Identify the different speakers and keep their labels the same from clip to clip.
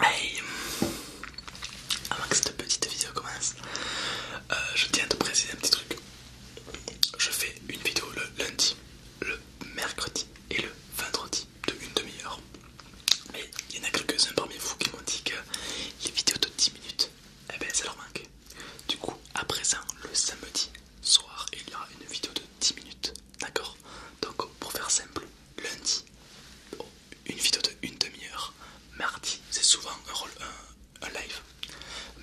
Speaker 1: Hey Avant que cette petite vidéo commence, euh, je tiens à te préciser un petit truc. Je fais une vidéo le lundi, le mercredi et le vendredi de une demi-heure. Mais il y en a quelques-uns parmi vous qui m'ont dit que les vidéos de 10 minutes, eh bien ça leur manque. Du coup, à présent, le samedi soir, il y aura une vidéo de 10 minutes D'accord Donc pour faire simple, lundi, oh, une vidéo de une demi-heure. Mardi, c'est souvent un, live.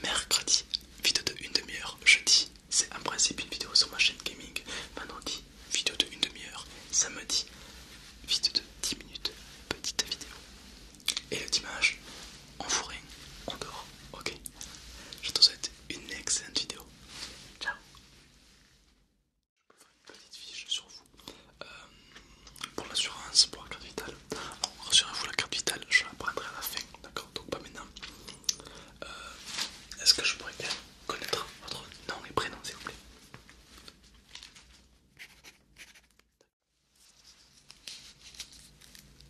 Speaker 1: Mercredi, vidéo de une demi-heure. Jeudi, c'est en principe une vidéo sur ma chaîne gaming. Vendredi, vidéo de demi-heure. Samedi, vidéo de 10 minutes. Petite vidéo. Et le dimanche, on fout rien, on dort, ok Je te souhaite une excellente vidéo. Ciao. Je peux faire une petite fiche sur vous euh, pour l'assurance, pour la carte vitale. Rassurez-vous, la carte vitale, je la prendrai à la fin, d'accord Donc pas maintenant. Euh, est-ce que je pourrais bien connaître votre nom et prénom, s'il vous plaît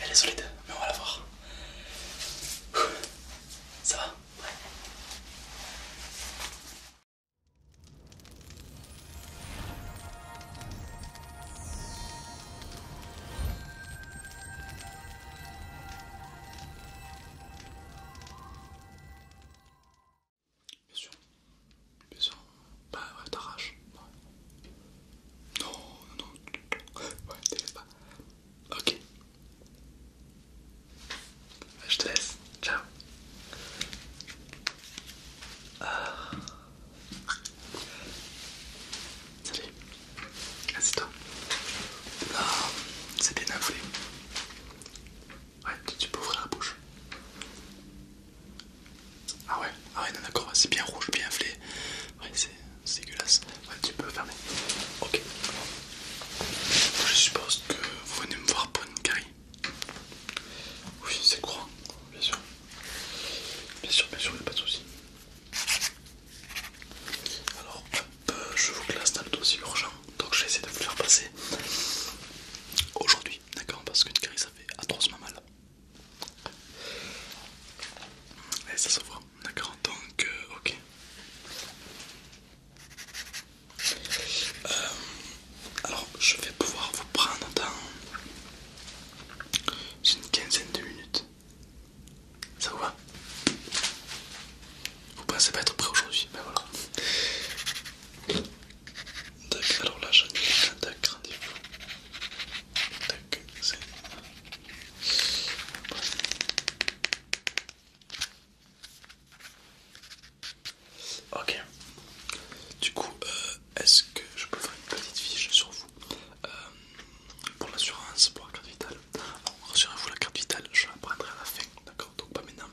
Speaker 1: Elle est solide, mais on va la voir. Ça va Bien sûr, bien sûr. Bah ouais, Non, non, non. Ouais, pas. Ok. Bah, je te laisse. Ciao. Ah. Salut. Assis-toi. Ah, c'est bien afflé. Ah, ouais, tu peux ouvrir la bouche. Ah ouais, ah ouais, d'accord, c'est bien rouge, bien flé. Ouais, c'est dégueulasse. Ouais, tu peux fermer. Ok. Je suppose que vous venez me voir pour une carie. Oui, c'est courant, bien sûr. Bien sûr, bien sûr, il n'y a pas de soucis. Alors, je vous classe dans le dossier urgent, donc je vais essayer de vous le faire passer aujourd'hui, d'accord Parce qu'une carie ça fait atrocement mal. Et ça se voit, d'accord Donc, euh, ok. Euh, alors, je vais pouvoir vous prendre dans c'est une quinzaine de minutes. Ça vous va Vous pensez pas être prêt aujourd'hui Ben voilà. D'accord. alors là, j'en ai un tac, rendez-vous. Tac, c'est. Ok, du coup, euh, est-ce que je peux faire une petite fiche sur vous euh, pour l'assurance, pour la carte vitale Rassurez-vous, la carte vitale, je la prendrai à la fin, d'accord Donc pas maintenant.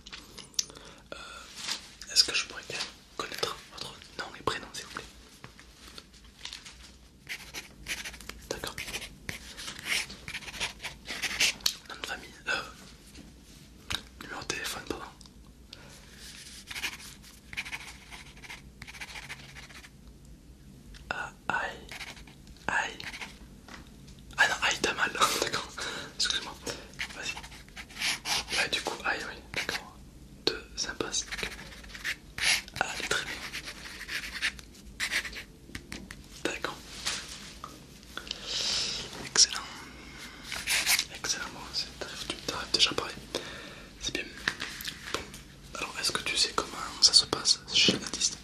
Speaker 1: Euh, est-ce que je pourrais bien connaître votre nom et prénom, s'il vous plaît D'accord. Nom de famille, euh, numéro de téléphone, pardon. Ah, aïe, aïe. Ah non, aïe, t'as mal, d'accord. Excuse-moi. Vas-y. Ouais, du coup, aïe, oui, d'accord. Deux, ça passe. ah très bien. D'accord. Excellent. Excellent, bon, t'arrives déjà pareil. C'est bien. Alors, est-ce que tu sais comment ça se passe chez les natistes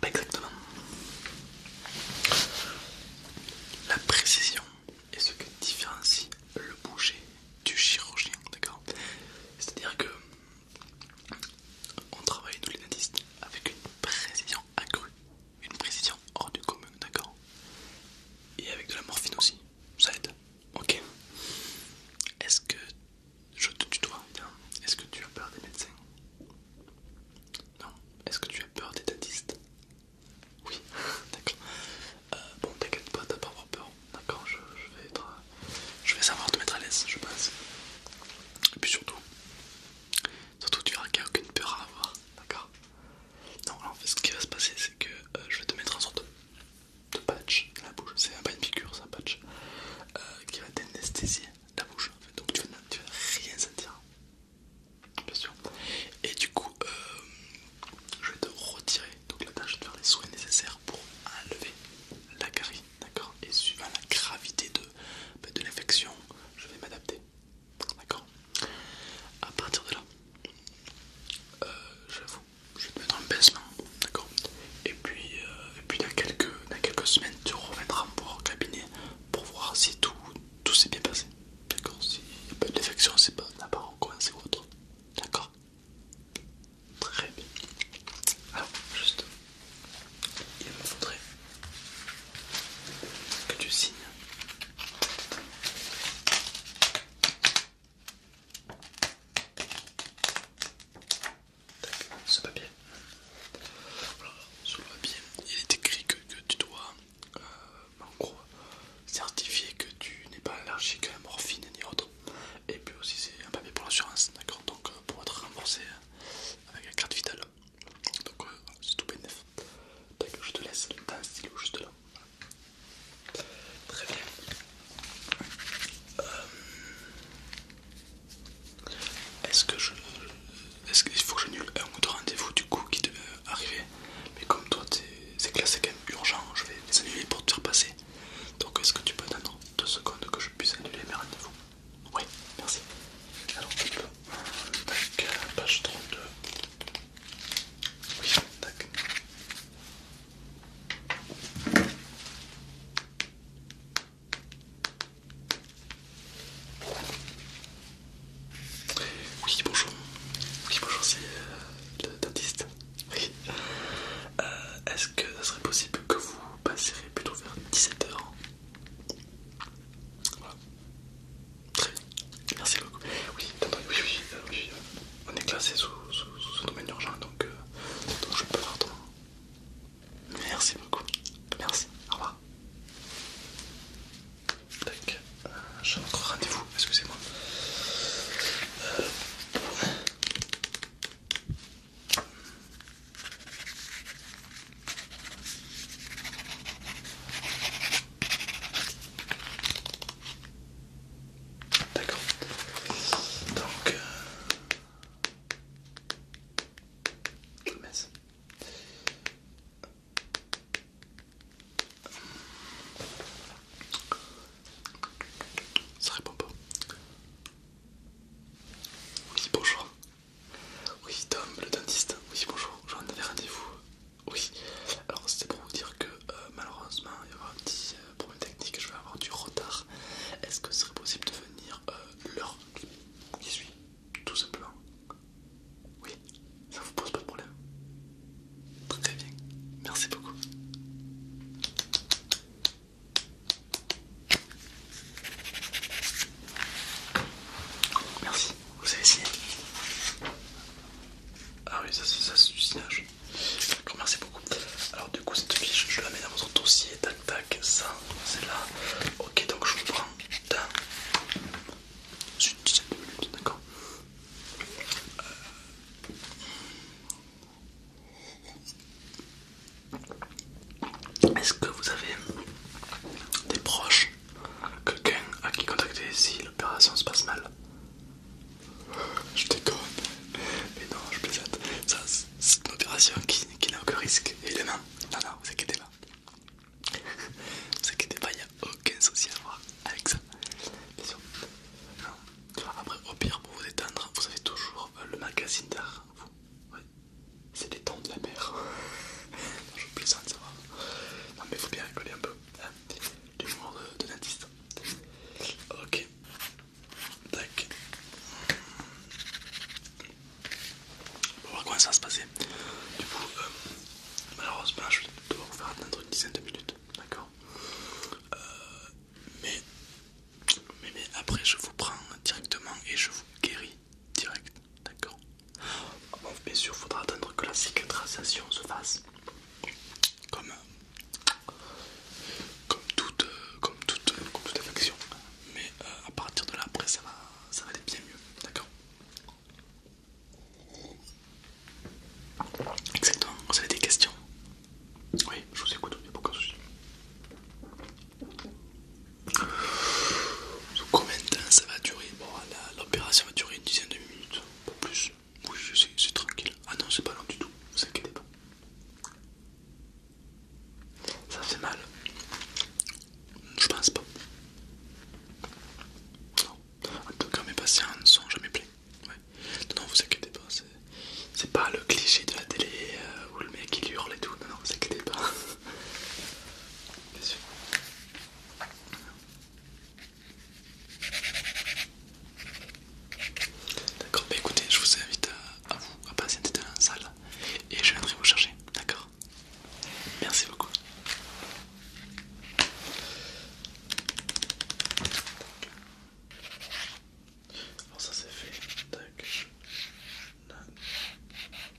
Speaker 1: Pas exactement. La précision est ce que différencie le bouger du chirurgien, d'accord C'est-à-dire que on travaille tous les natistes avec une précision accrue, une précision hors du commun, d'accord Et avec de la morphine aussi, ça aide. Ok. Est-ce que je te tutoie Est-ce que tu as peur des médecins Non. Est-ce que tu as peur des dentistes Oui, d'accord. Euh, bon, t'inquiète pas, t'as pas peur. D'accord, je vais être, euh, je vais savoir te mettre à l'aise, je pense. Et puis surtout, Surtout tu verras qu'il n'y a aucune peur à avoir, d'accord Non, en fait, ce qui va se passer, c'est que euh, je vais te mettre un sorte de, patch dans la bouche. C'est pas une piqûre, c'est un patch euh, qui va t'anesthésier la bouche. Donc tu ne vas rien sentir, bien sûr. Et du coup, euh, je vais te retirer donc la tâche de faire les soins nécessaires pour enlever la carie d'accord Et suivant la gravité ben, de, l'infection, je vais m'adapter, d'accord À partir de là, euh, j'avoue, je vais te mettre un baissement, d'accord Et puis, euh, puis dans, quelques, semaines, tu reviendras au cabinet pour voir si tout, s'est bien passé, d'accord Si n'y a pas d'infection, c'est pas autre, d'accord Très bien. Alors, juste il me faudrait que tu signes ce papier. sur le papier, il est écrit que, tu dois, euh, certifier que tu n'es pas allergique à la morphine ni autre. Et puis aussi, c'est un papier pour l'assurance, d'accord Donc, euh, pour être remboursé euh, avec la carte vitale. Donc euh, c'est tout bénef. je te laisse, t'as un stylo juste là. Très bien. Euh, est-ce que je... Est-ce qu'il faut que j'annule un autre rendez-vous du coup qui devait arriver Mais comme toi c'est c'est quand même urgent, je vais les annuler pour te faire passer. Donc est-ce que tu peux attendre deux secondes que je puisse annuler mes rendez-vous oui, merci. Alors, tu peux. Tac, page 32. Oui, tac. Oui, bonjour. Oui, bonjour, c'est euh, le dentiste. Oui. Euh, est-ce que ça serait possible que vous passeriez plutôt vers 17h voilà. Très bien. Merci beaucoup. Oui, oui, oui, euh, euh, on est classé sous, sous, domaine urgent, donc, euh, je peux faire ton... Merci beaucoup. Merci. Au revoir. Tac. Je J'ai notre rendez-vous, excusez-moi. D'accord. Donc... Euh, mince. Ça répond pas. Oui, bonjour. Oui, Tom, le dentiste. Oui, bonjour. J'en avais rendez-vous. Oui. Alors, c'était pour vous dire que euh, malheureusement, il y aura un petit euh, problème technique. Je vais avoir du retard. Est-ce que ce serait possible de venir euh, l'heure qui suit Tout simplement. Oui, ça vous pose pas de problème. Très bien. Merci beaucoup. Merci, vous avez signé Ah oui, ça c'est du signage. D'accord, merci beaucoup. Alors du coup, cette fiche, je la mets dans votre dossier. Tac, tac, ça, c'est là. Ok, donc je vous prends dans de minutes, d'accord euh... Est-ce que vous avez des proches, quelqu'un à qui contacter si l'opération se passe mal Je déconne, mais non, je plaisante. Ça, c'est une opération qui, n'a aucun risque, évidemment. Non, non, vous inquiétez pas. vous inquiétez pas, il n'y a aucun souci à avoir avec ça. Bien Non. Après, au pire, pour vous détendre, vous avez toujours le magazine d'art. Vous, c'est des tons de la mer. je plaisante, ça va. Non, mais faut bien rigoler un peu. Hein, l'humour les de, dentiste. Ok. Tac. On va voir comment ça va se passer. Du coup, euh, malheureusement, je vais devoir vous faire attendre une dizaine de minutes. D'accord euh, mais, mais après, je vous prends directement et je vous guéris direct, d'accord bien sûr, faudra attendre que la cicatrisation se fasse. Comme, comme, toute, comme, toute, comme Mais euh, à partir de là, après, ça va, ça va aller bien mieux, d'accord Exactement, vous avez des questions Oui, je vous écoute, il n'y a aucun souci. Combien de temps ça va durer Bon, l'opération va durer une dizaine de minutes, pas plus. Oui, c'est tranquille. Ah non, c'est pas long du tout, vous inquiétez pas. Ça fait mal Je pense pas. En tout cas, mes patients ne sont jamais pleins. Non, vous inquiétez pas. C'est pas le cliché de la télé euh, où le mec il hurle et tout. Non, non, vous inquiétez pas. D'accord, bah écoutez, je vous invite à, vous à passer dans la salle et je viendrai vous chercher, d'accord Merci beaucoup. Alors ça c'est fait, tac,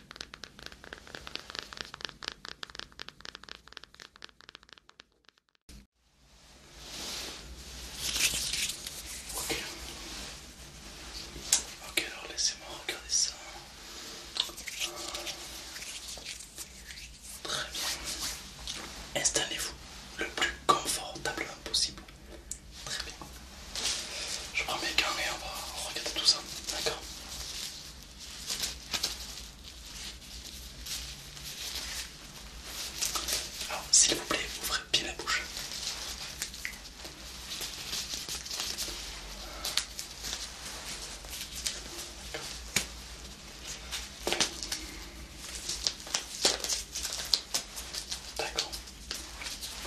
Speaker 1: Ok. Ok, alors laissez-moi regarder ça. Très bien. Installez-vous le plus confortablement possible. Très bien. Je prends mes gants et on va regarder tout ça, d'accord Alors, s'il vous plaît, ouvrez bien la bouche. D'accord.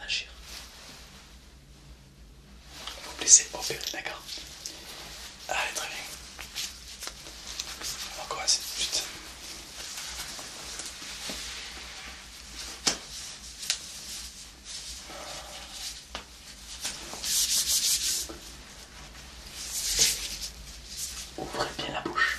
Speaker 1: agir. Vous blessez laissez opérer, d'accord Allez, très bien. On va commencer tout de suite. Ouvrez bien la bouche.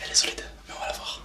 Speaker 1: Elle est solide, mais on va la voir.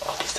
Speaker 1: Ok, oh, c'est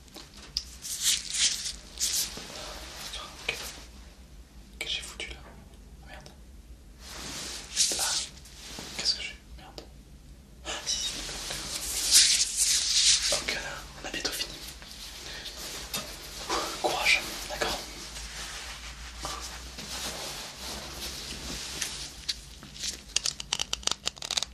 Speaker 1: Qu'est-ce que j'ai foutu là Merde. Qu'est-ce que j'ai Merde. Ah si, on a bientôt fini. courage, d'accord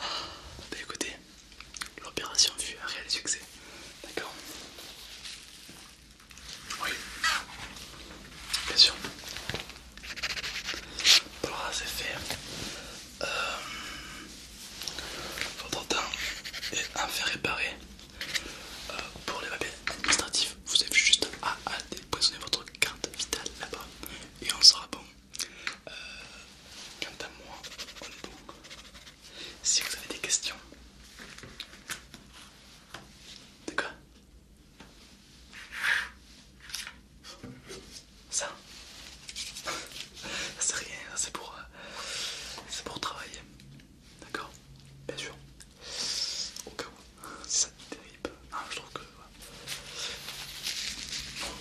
Speaker 1: Ah, bah écoutez, l'opération fut un réel succès. D'accord oui, bien sûr. pour c'est euh, votre temps est enfin réparé. Euh, pour les papiers administratifs, vous avez juste à, déposer votre carte vitale là-bas et on sera bon. Euh, quant à moi, on Si vous avez des questions, de quoi Ça C'est rien, c'est pour... Euh, c'est pour travailler. D'accord Bien sûr. Au cas où, si ça te dérive. Ah, je trouve que...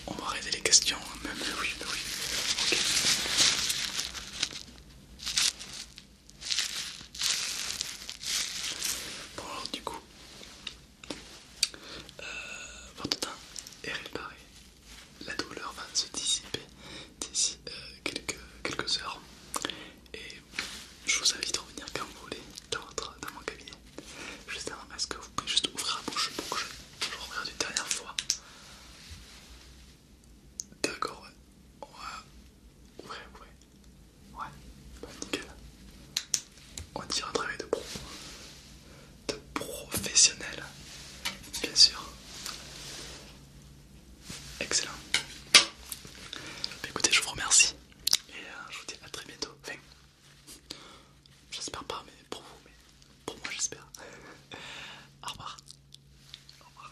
Speaker 1: On va arrêter les questions, hein. même oui, oui. Ok. Bon alors du coup, euh, votre temps est réparé, la douleur va se dissiper d'ici euh, quelques, heures et je vous invite à revenir quand vous voulez dans, mon cabinet. justement, est-ce que vous pouvez juste ouvrir la bouche pour que je, je regarde une dernière fois D'accord, ouais. Ouais, ouais. Ouais, nickel. On dirait un travail de pro. De professionnel, bien sûr. Excellent. Bah, écoutez, je vous remercie. Et euh, je vous dis à très bientôt. j'espère pas, mais pour vous, mais pour moi, j'espère. Au revoir. Au revoir.